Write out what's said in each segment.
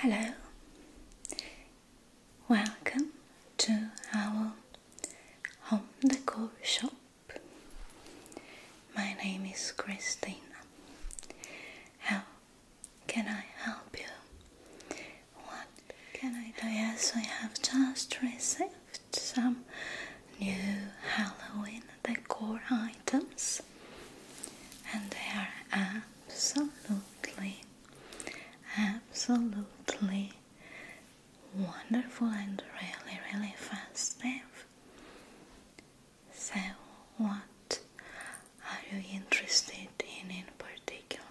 Hello, welcome to our home decor shop. My name is Christina. How can I help you? What can I do? Yes, I have just received some new Halloween decor items, and they are uh, absolutely, absolutely wonderful and really, really fast step. So, what are you interested in in particular?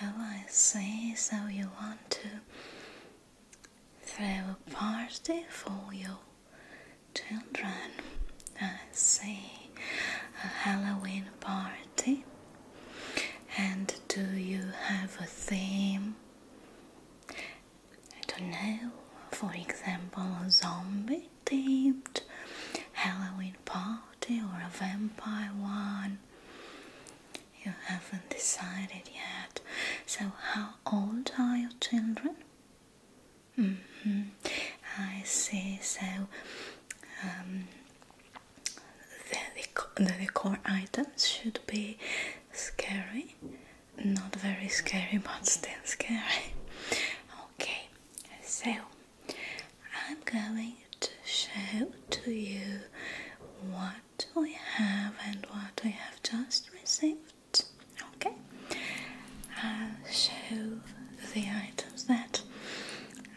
I see. So, you want to throw a party for you? children uh, as a, a Halloween party? And do you have a theme? I don't know, for example, a zombie themed Halloween party or a vampire one. You haven't decided yet. So, how old are your children? -hmm. I see. So, um, the, the, the items should be scary, not very scary, but still scary. Okay, so I'm going to show to you what we have and what we have just received. Okay, I'll show the items that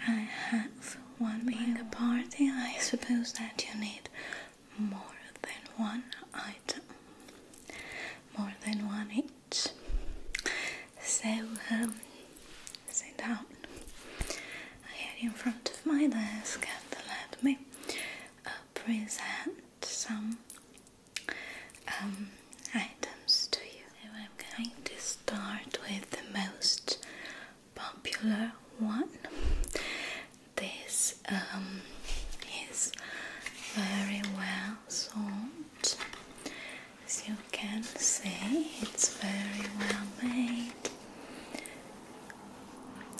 I have. One being a party, I suppose that you need more than one item, more than one each. So, um, sit down here in front of my desk and let me uh, present some um, items to you. I'm going to start with the most popular one. This um, is very well sold. As you can see, it's very well made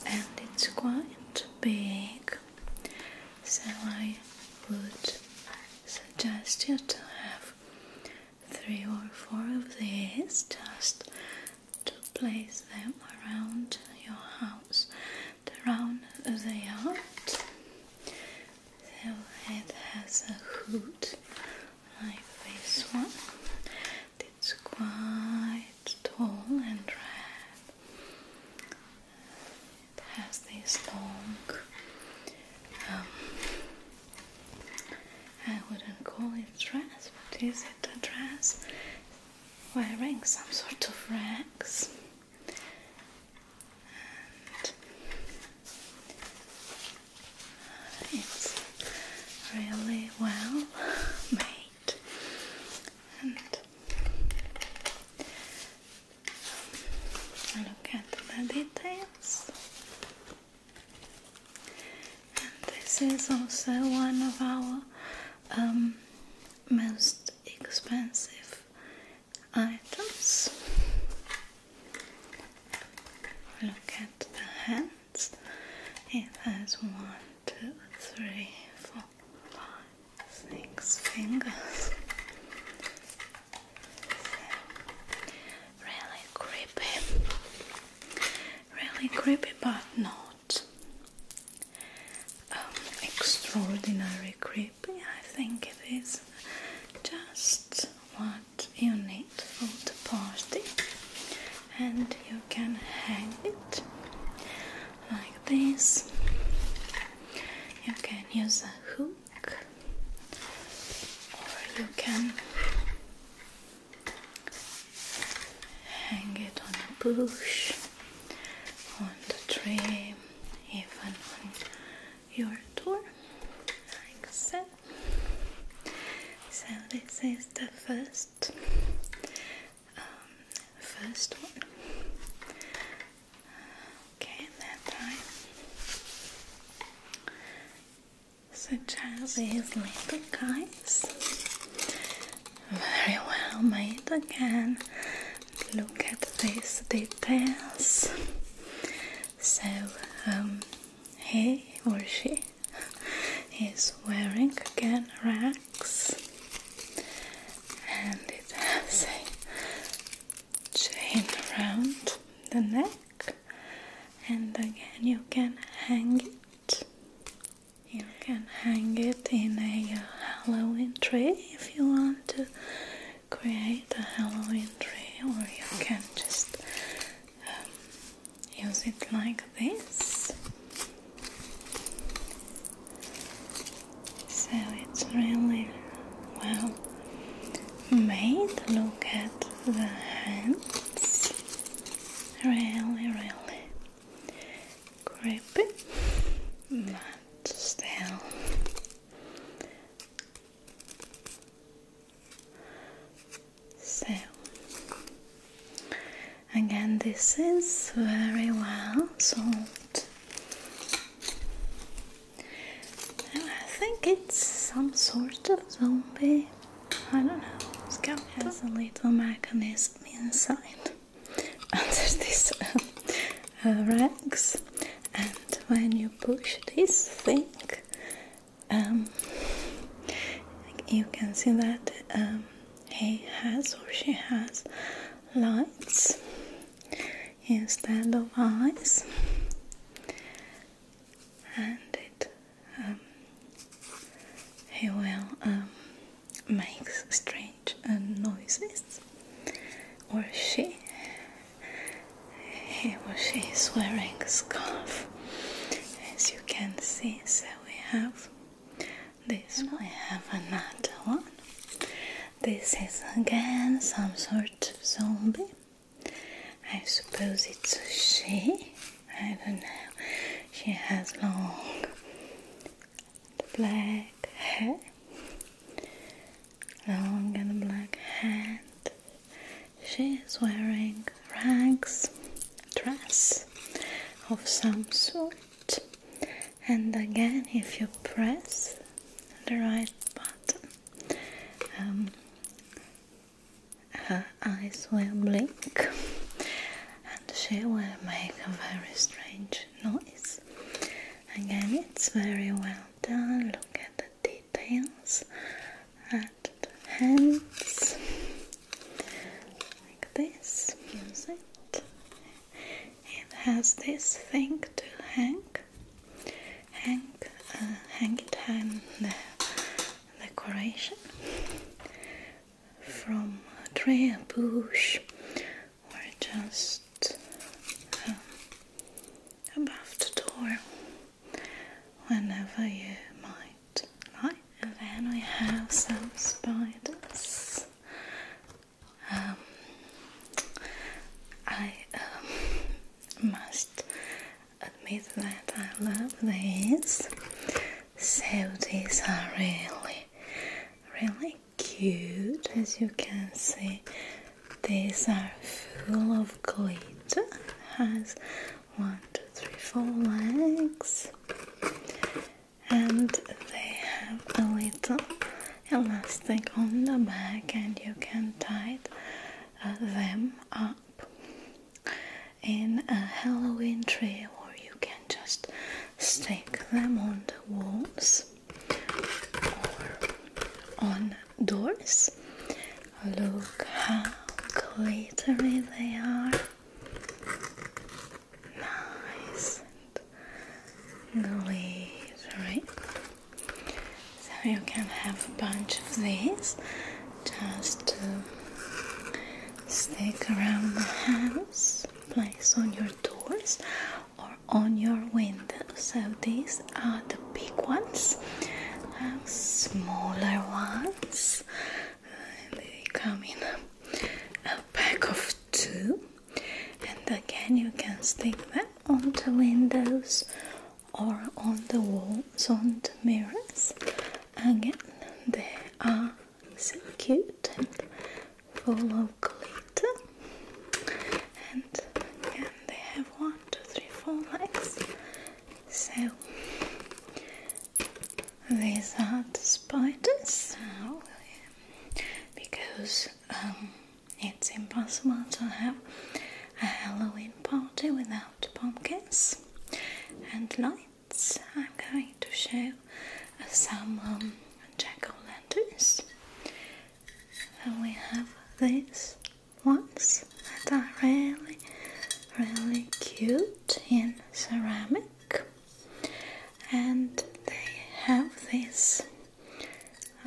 and it's quite big so I would suggest you to have three or four of these just to place them around your house around the yard so it has a hood like this one it's quite tall and red has this long, um, I wouldn't call it dress, but is it a dress? Wearing some sort of rex. Uh, it's really well made Look at the details. And this is also one of our um, most expensive items. Look at the hands. It has one, two, three, four, five, six fingers really creepy, really creepy, but not um, extraordinary creepy. I think it is just what you need for the party, and you can hang it like this. You can use a hook or you can hang it on a bush, on the tree, even on your door, like so. So this is the first, um, first one. Okay, that time. So Charles is little guys. Very well made again. Look at these details. So um, he or she is wearing again rags, and it has a chain around the neck and again you can hang it you can hang it in a Halloween tree if you want to create a Halloween tree or you can just um, use it like this so it's really well made. Look at the hands. Really, really creepy. But still. So again this is very well solved I think it's some sort of zombie. I don't know. Scum has a little mechanism inside under these um, uh, uh rags, and when you push this thing, um, you can see that um, he has or she has lights instead of eyes, and it um, he will um, make strange uh, noises, or she. He or she is wearing a scarf, as you can see. So we have this. We have another one. This is again some sort of zombie. I suppose it's a she. I don't know. She has long black hair, long and black hair. She is wearing rags dress of some sort. And again, if you press the right button, um, her eyes will blink and she will make a very strange noise. Again, it's very well done. Look at the details at hands, like this. Use It has this thing to hang hang, uh, hanging time the decoration from a tree, a bush, or just um, above the door whenever you might And then we have some spiders. Um, I um, must admit that I love these. So these are really, really cute as you can see. These are full of glitter. Has one, two, three, four legs, and they have a little elastic on the back, and you can tie it them up in a Halloween tree, or you can just stick them on the walls or on doors. Look how glittery they are. Nice glittery so you can have a bunch of these just to uh, stick around the house place on your doors or on your windows so these are the big ones uh, smaller ones they come in a, a pack of two and again you can stick them onto windows or on the walls on the mirrors again they are so cute and full of glitter and they have one two three four legs so these are the spiders because um, it's impossible to have a Halloween party without pumpkins and lights. I'm going to show some um, jack o' lanterns. we have these ones that are really, really cute in ceramic, and they have this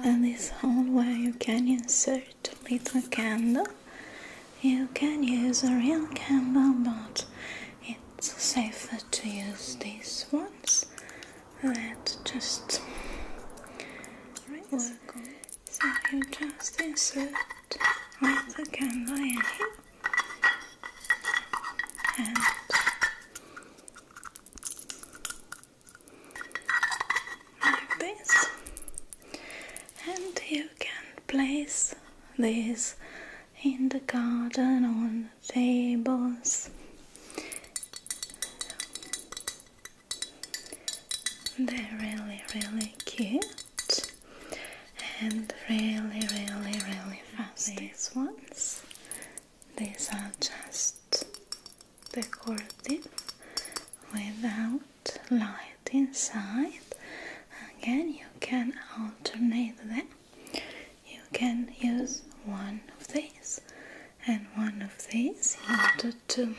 and this hole where you can insert a little candle. You can use a real candle, but it's safer to use these ones that just So you just insert with the candle in here and like this and you can place these in the garden on tables they're really really cute and really really really fast these ones these are just the curtain without light inside again you can alternate them you can use one of these and one of these in order to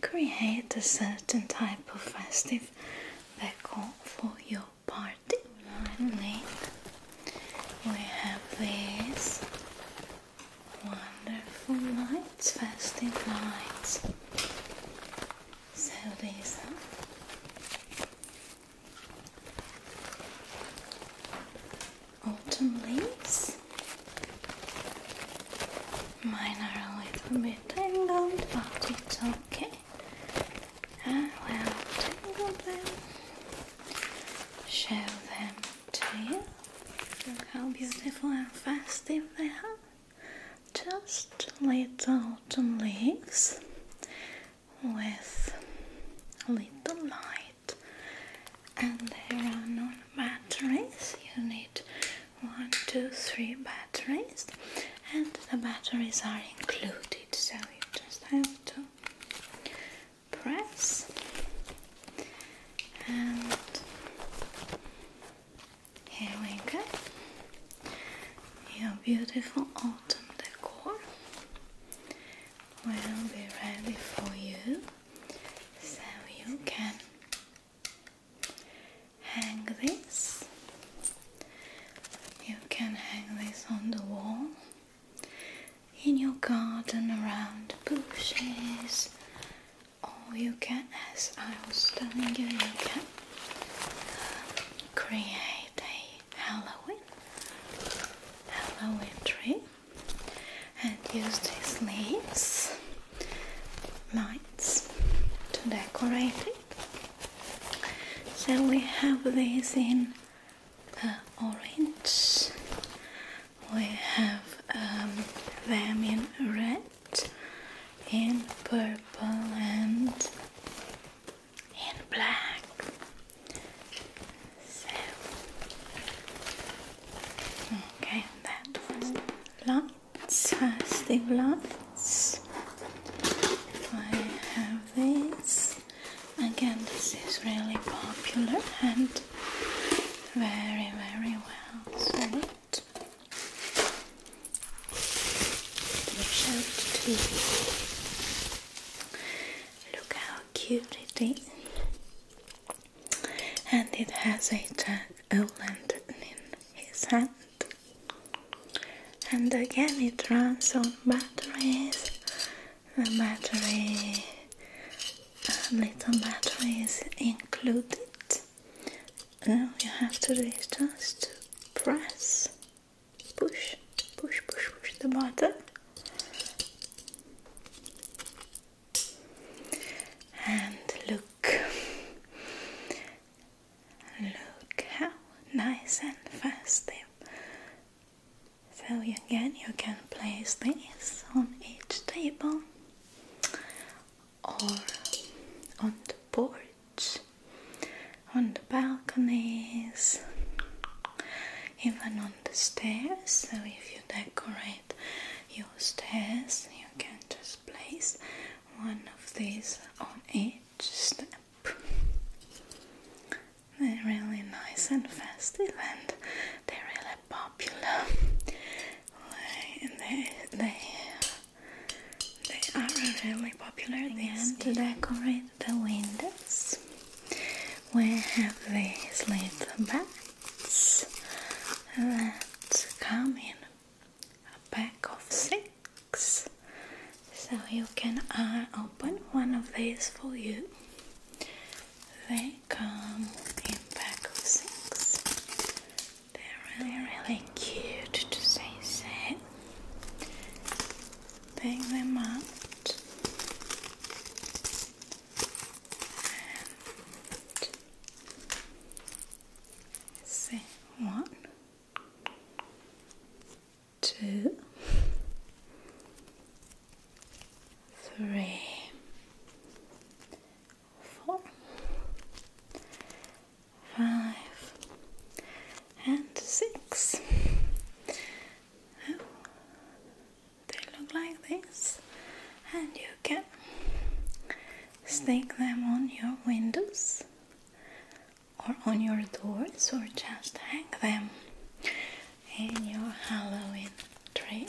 create a certain type of festive decor for your party finally we have this Wonderful nights, festive lights. So these are autumn leaves. Mine are a little bit tangled, but it's okay. I will tangle them, show them to you. Look how beautiful and festive they are. Just little autumn leaves with a little light, and they run on batteries. You need one, two, three batteries, and the batteries are included, so you just have to press and here we go. Your beautiful autumn decor will be ready for you so you can hang this. You can hang this on the wall in your garden around bushes all you can, as I was telling you, you can uh, create a Halloween Halloween tree and use these leaves, lights to decorate it. So we have these in uh, orange we have them um, in red, in purple, and in black. So, okay, that was lots, festive lots. I have this. Again, this is really popular and very, very well. So, out. out Look how cute it is. And it has a jack o' lantern in his hand. And again it runs on batteries. A battery, uh, little batteries included and all you have to do is just press push push push push the button and look look how nice and fast they so again you can place this on each table or on the porch, on the balconies, even on the stairs. So, if you decorate your stairs, you can just place one of these on each step. They're really nice and festive and they're really popular they they they are really popular. Then to decorate the windows, we have these little bats that come in a pack of six. So you can uh, open one of these for you. They come in pack of six. They're really, really cute to say so. Pick them up. And one, two, three, four, five, and six. Oh. they look like this, and you can stick them on your windows or on your doors, or just hang them in your Halloween tree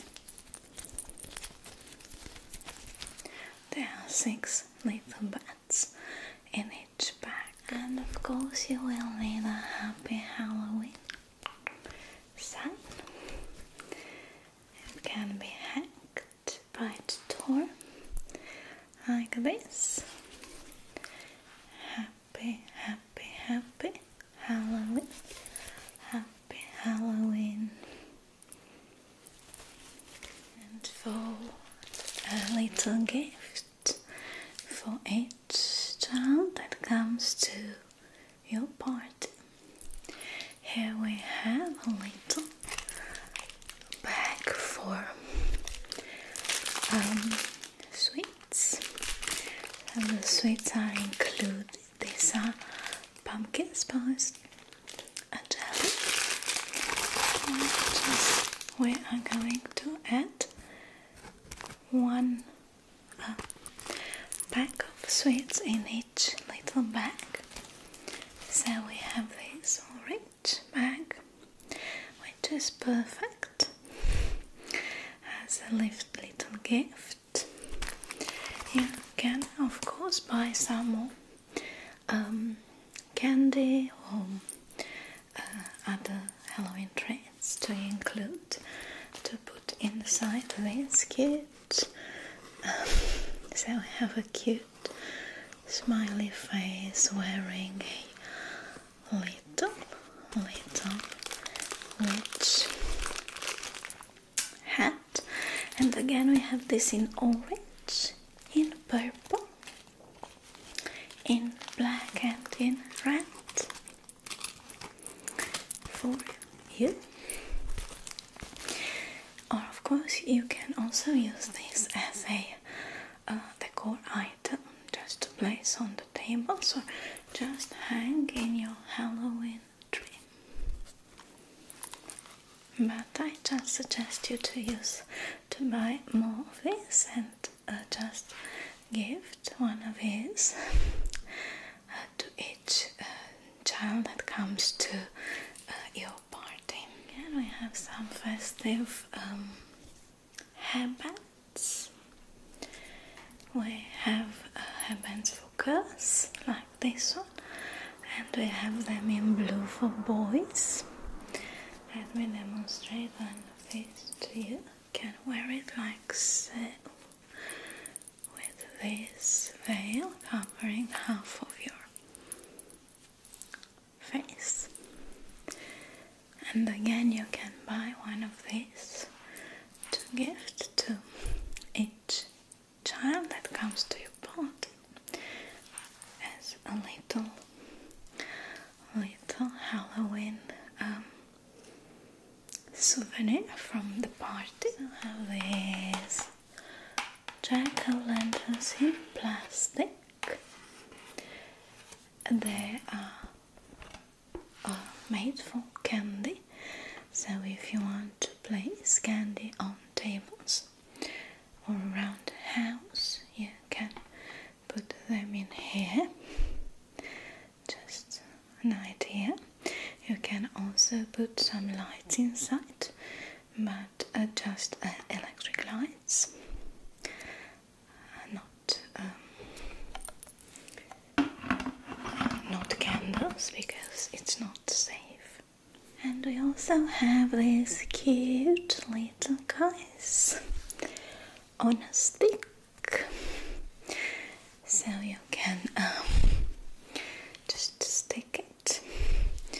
there are six little bats in each bag, and of course, you will need a happy Halloween sun. It can be hacked by the door like this. Happy, happy, happy Halloween. Happy Halloween. And for a little gift for each child that comes to your party. Here we have a little bag for um, sweets, and the sweets are included these are pumpkin spice and uh, jelly and we are going to add one uh, pack of sweets in each little bag so we have this orange bag which is perfect as a little gift you can of course buy some more um, candy or uh, other Halloween treats to include to put inside this kit. Um, so I have a cute smiley face wearing a little, little witch hat and again we have this in orange in purple in black and in red for you or of course you can also use this as a uh, decor item just to place on the table. So just hang in your Halloween but I just suggest you to use to buy more of these and uh, just gift one of these uh, to each uh, child that comes to uh, your party. And we have some festive um, We have uh, for girls, like this one and we have them in blue for boys let me demonstrate one of you can wear it like so with this veil covering half of your face and again you can buy one of these to gift to each child that comes to your party as a little, little Halloween um, souvenir from the party. I jack o' lanterns in plastic. They are made for candy, so if you want to play candy on tables or around the house you can put them in here just an idea you can also put some lights inside but uh, just uh, electric lights uh, not um, not candles because it's not safe and we also have these cute little guys on a stick. So you can um, just stick it uh,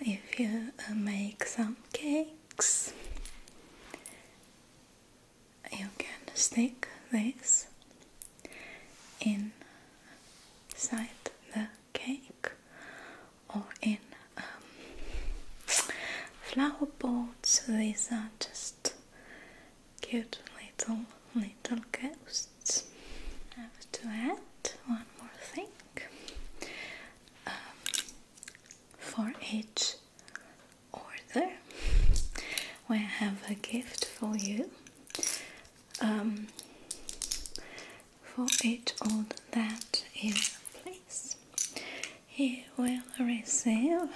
if you uh, make some cakes. You can stick this inside the cake or in um, flower pots. These are just cute little little ghosts. I have to add one more thing. Um, for each order, we have a gift for you. Um, for each order that is you place. You will receive,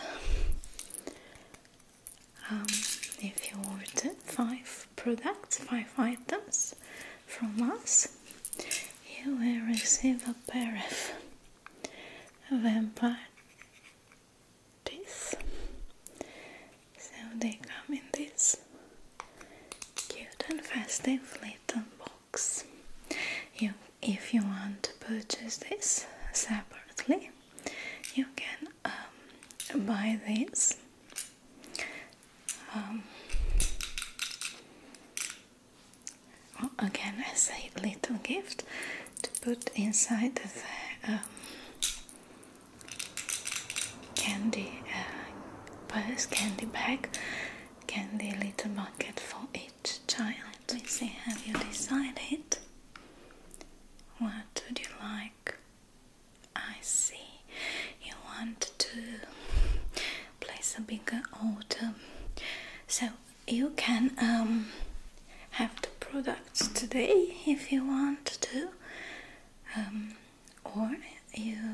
if you order, five products, five items from us. You will receive a pair of vampire teeth, so they come in this cute and festive little box. You, if you want to purchase this separately, you can um, buy this. Um, again, as a little gift to put inside the um, candy uh, candy bag, candy little bucket for each child. let have you decided? What would you like? I see. You want to place a bigger order. So you can um, have the products today if you want to. Um, or you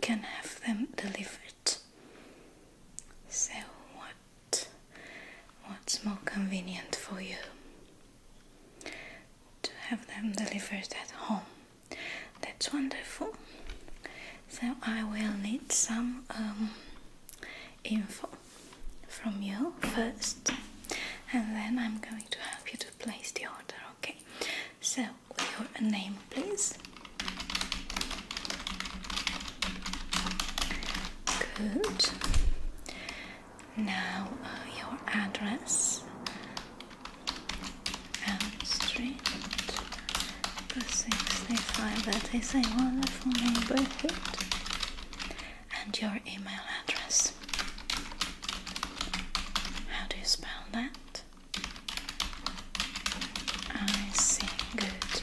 can have them delivered. So what what's more convenient for you? To have them delivered at home. That's wonderful. So I will need some um, info from you first and then I'm going to help you to place the order, okay? So, your name, please. Good. Now, uh, your address and street. Sixty-five. That is a wonderful neighborhood. And your email address. How do you spell that? I see, good.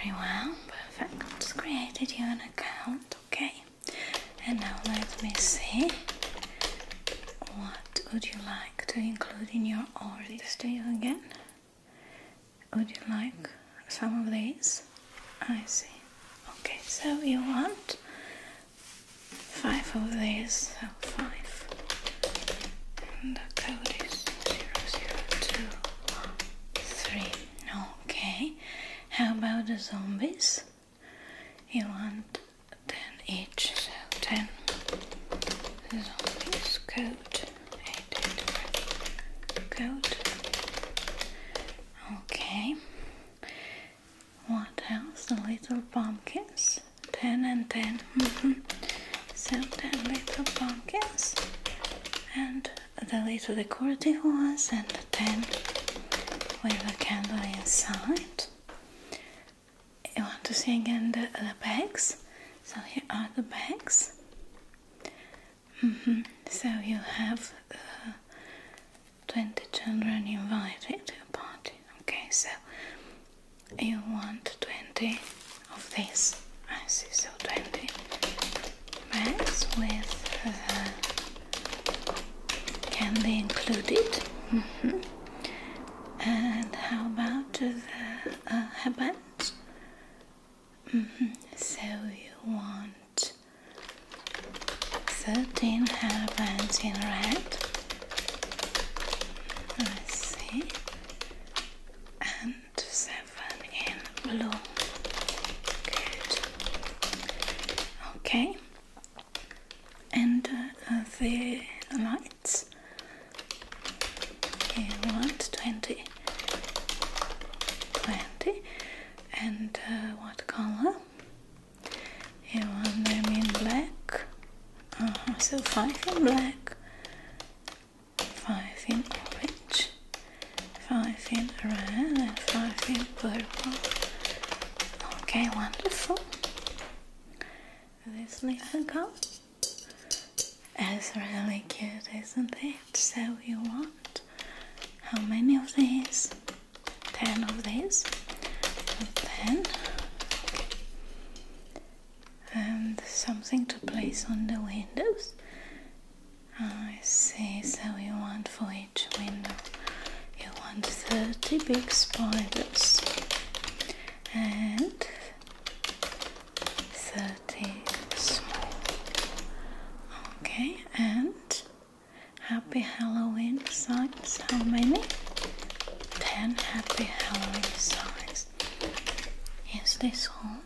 Very well, perfect. I've just created your account, okay? And now let me see. What would you like to include in your order? Do you again? Would you like some of these? I see. Okay, so you want five of these, five. the code is zero zero two three. Okay. How about the zombies? You want ten each, so ten zombies code. code. Okay. What else? The little pumpkins. 10 and 10. Mm mm-hmm. So 10 little pumpkins and the little decorative ones and 10 with a candle inside. You want to see again the, the bags? So here are the bags. Mm-hmm. So you have uh, 20 children invited to a party. Okay, so you want 20 of this I see so 20 bags with the uh, candy included mm and how about the uh, headbands mm-hmm. so you want 13 hairbands in red I see. And uh, seven in blue. Good. Okay. And uh, the lights. Okay, what? 20. 20. And uh, what color? and one them in black. Uh-huh, so five in black, five in orange, five in red, five in purple. Okay, wonderful. This little girl is really cute, isn't it? So you want how many of these? 10 of these. 10 and something to place on the windows. I see, so you want for each window, you want 30 big spiders and 30 small. Okay, and happy Halloween sign. So many? 10 happy Halloween songs. Is this all?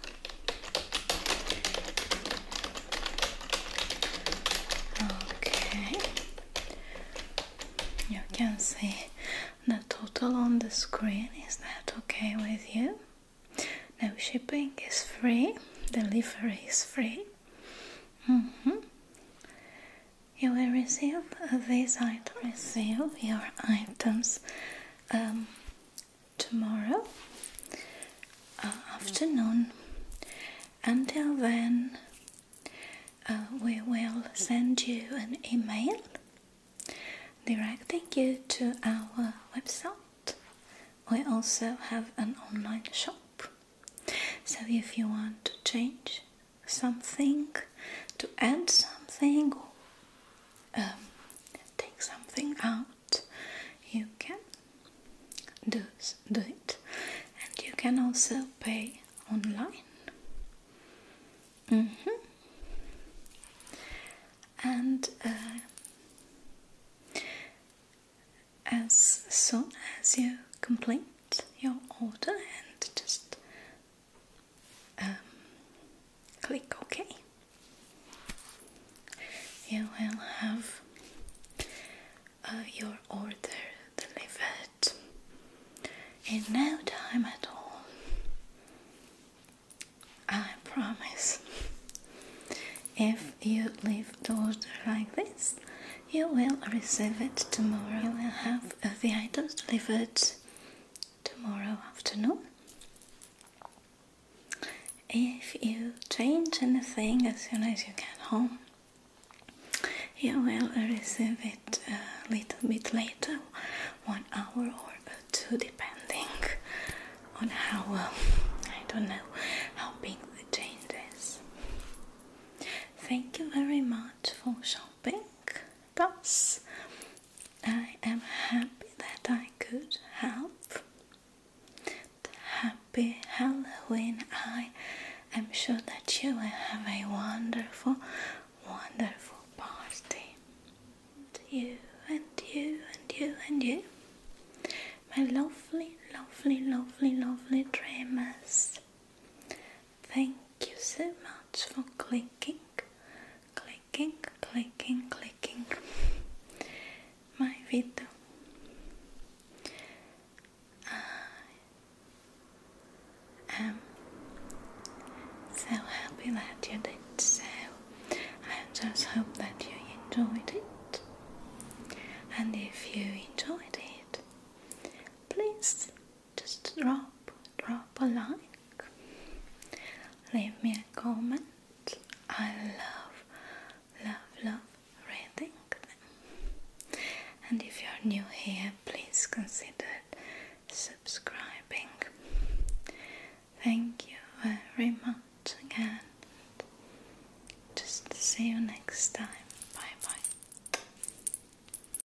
Okay. You can see the total on the screen. Is that okay with you? No shipping is free, delivery is free. -hmm. You will receive these items, receive your items um, tomorrow uh, afternoon. Until then, uh, we will send you an email directing you to our website. We also have an online shop. So if you want to change something, to add something, or um, take something out, you can do, do it. And you can also pay online. Mm-hmm. And uh, as soon as you complete your order and just um, click OK. You will have uh, your order delivered in no time at all. I promise. If you leave the order like this, you will receive it tomorrow. You have uh, the items delivered tomorrow afternoon. If you change anything as soon as you get home, you will receive it a little bit later, one hour or two, depending on how uh, I don't know how big the change is. Thank you very much for shopping. Thus, I am happy that I could help. Happy Halloween! I am sure that you will have a wonderful, wonderful party. And you and you and you and you, my lovely, lovely, lovely, lovely dreamers. Thank you so much for clicking, clicking, clicking, clicking my video. I am so happy that you did so. I just hope that you enjoyed it. And if you enjoyed it, please just drop, drop a like, leave me a comment. I love, love, love reading them. And if you're new here, please consider subscribing. Thank you very much again. Just see you next time. Bye bye.